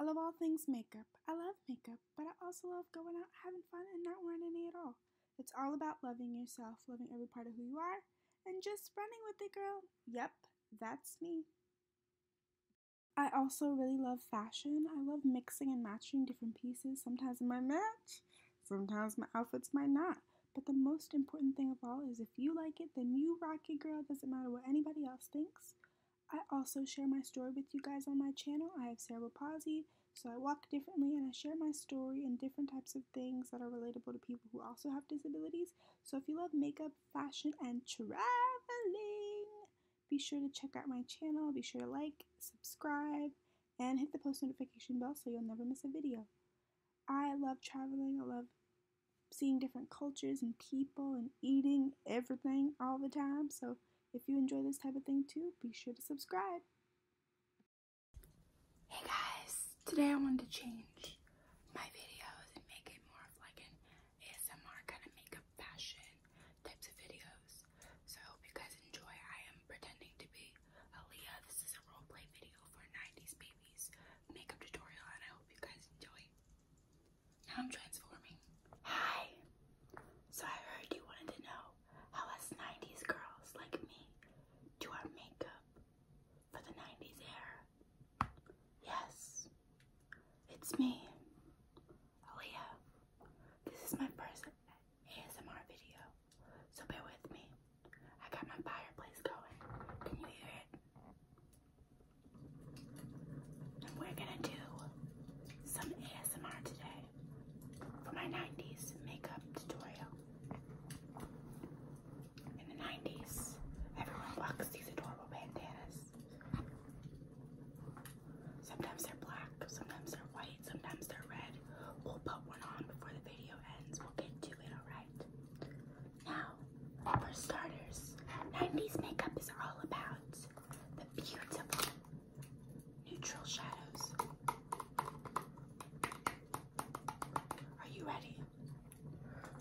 I love all things makeup. I love makeup, but I also love going out, having fun, and not wearing any at all. It's all about loving yourself, loving every part of who you are, and just running with it, girl. Yep, that's me. I also really love fashion. I love mixing and matching different pieces. Sometimes my match, sometimes my outfits might not. But the most important thing of all is if you like it, then you rock it, girl. Doesn't matter what anybody else thinks. I also share my story with you guys on my channel. I have cerebral palsy, so I walk differently and I share my story and different types of things that are relatable to people who also have disabilities. So if you love makeup, fashion, and traveling, be sure to check out my channel. Be sure to like, subscribe, and hit the post notification bell so you'll never miss a video. I love traveling. I love seeing different cultures and people and eating everything all the time. So if you enjoy this type of thing too, be sure to subscribe. Hey guys, today I wanted to change my videos and make it more of like an ASMR kind of makeup fashion types of videos. So I hope you guys enjoy. I am pretending to be Aaliyah. This is a roleplay video for 90s babies makeup tutorial and I hope you guys enjoy. Now I'm transforming. Hi. So I heard you wanted to know how us 90s girls like me do our makeup for the 90s era. Yes. It's me, Aaliyah. This is my first ASMR video, so bear with me. I got my fireplace going. Can you hear it? We're gonna do some ASMR today for my 90s makeup tutorial. In the 90s, everyone bucks these adorable bandanas. Sometimes they're black, sometimes they're white, sometimes they're red. We'll put one on before the video ends. We'll get to it, alright? Now, for starters, 90s makeup is all about the beautiful neutral shadows. Are you ready?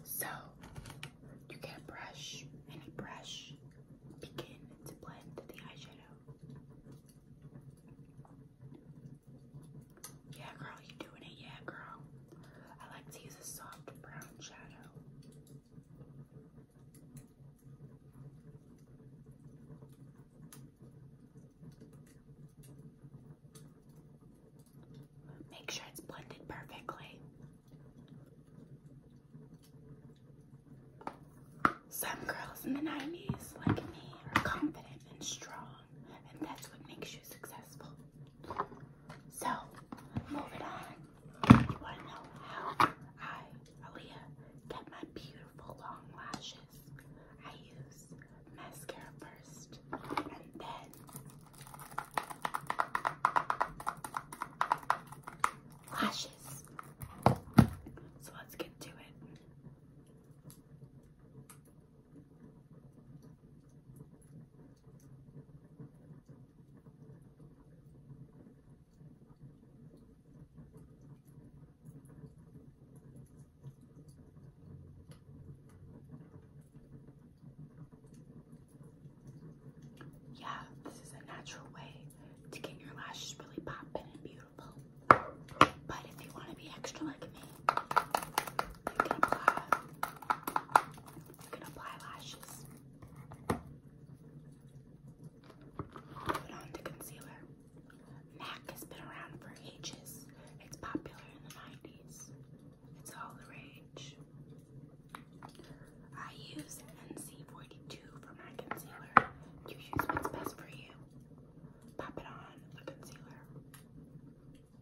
So, you get a brush any brush, begin to blend the eyeshadow. Yeah, girl, you doing it? Yeah, girl. I like to use a soft brown shadow. Make sure it's blended perfectly. Some girls in the 90s, like me, are confident and strong, and that's what makes you successful. So, moving on. You want to know how I, Aaliyah, get my beautiful long lashes? I use mascara first, and then lashes. So let's get to it. Yeah, this is a natural way to get your lashes really popping and beautiful. But if you want to be extra like me, you can apply. You can apply lashes. Put on the concealer. MAC has been around for ages. It's popular in the 90s. It's all the rage. I use NC42 for my concealer. You use what's best for you. Pop it on the concealer. Now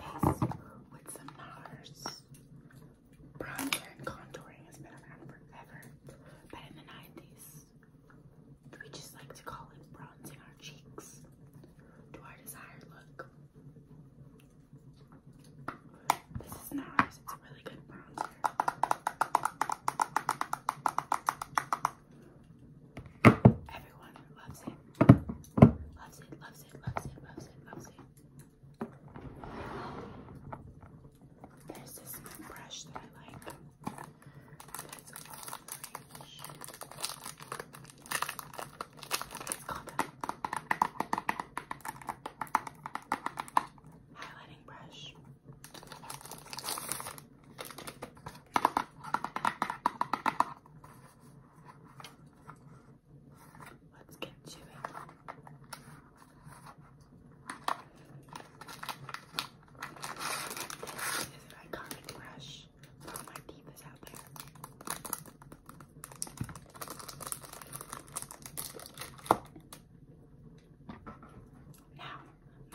bronze with some NARS. Bronzer and contouring has been around forever, but in the 90s, we just like to call it bronzing our cheeks to our desired look. This is NARS, it's a really good bronzer. Everyone loves it. Loves it, loves it, loves it, loves it, There's this brush that I like. That's orange. It's called a highlighting brush. Let's get to it. This is an iconic brush. All my teeth out there. Now,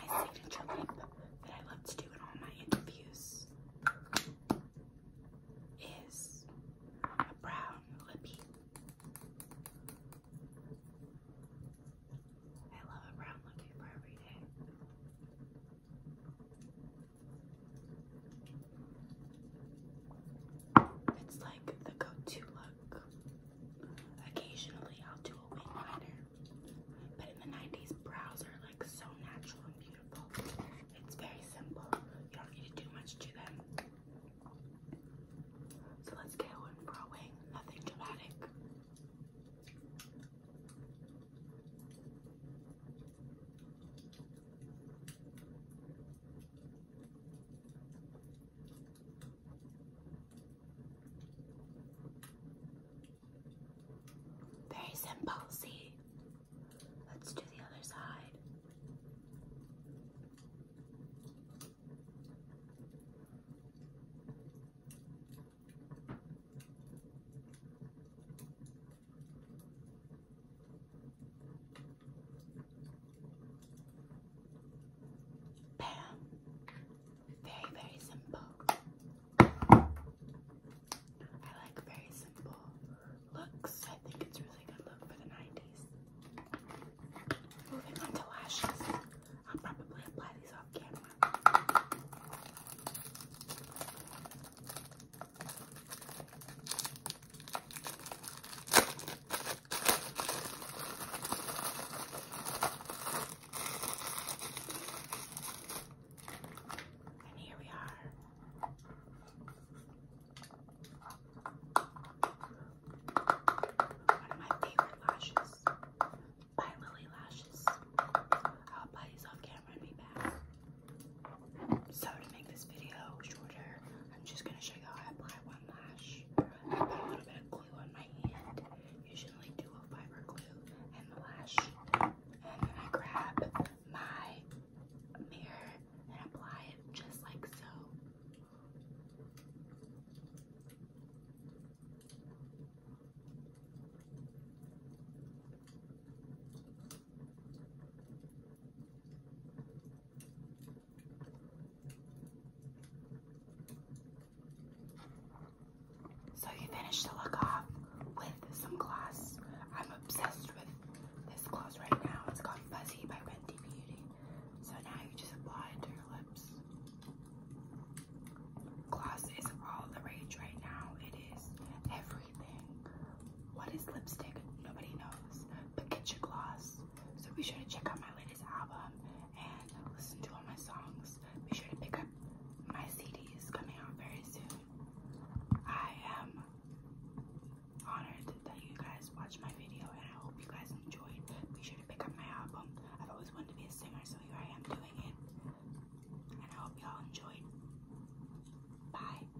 my signature lip that I love to do in all my interviews is a brown lippy. I love a brown lippy for every day. It's like the go-to look. Occasionally I'll do a wing liner. But in the 90s, brows are like so natural and beautiful. It's very simple. You don't need to do much to them. So let's get one for a wing. Nothing dramatic. Very simple, see? Let's do the other side. Bam. Very, very simple. I like very simple looks. I think it's a really good look for the 90s. Moving on to lashes. I'll probably apply these off camera. And here we are. One of my favorite lashes by Lily Lashes. I'll buy these camera and back. So to make this video shorter, I'm just gonna show you how I apply one lash. I put a little bit of glue on my hand, usually dual fiber glue and the lash. And then I grab my mirror and apply it just like so. So you finish the look off with some gloss. I'm obsessed with this gloss right now. It's called Fuzzy by Fenty Beauty. So now you just apply it to your lips. Gloss is all the rage right now. It is everything. What is lipstick? Nobody knows but get your gloss. So be sure to check out my latest album and listen to all my songs. Be sure to pick up my CDs coming out very soon. I am honored that you guys watched my video and I hope you guys enjoyed. Be sure to pick up my album. I've always wanted to be a singer, so here I am doing it. And I hope y'all enjoyed. Bye.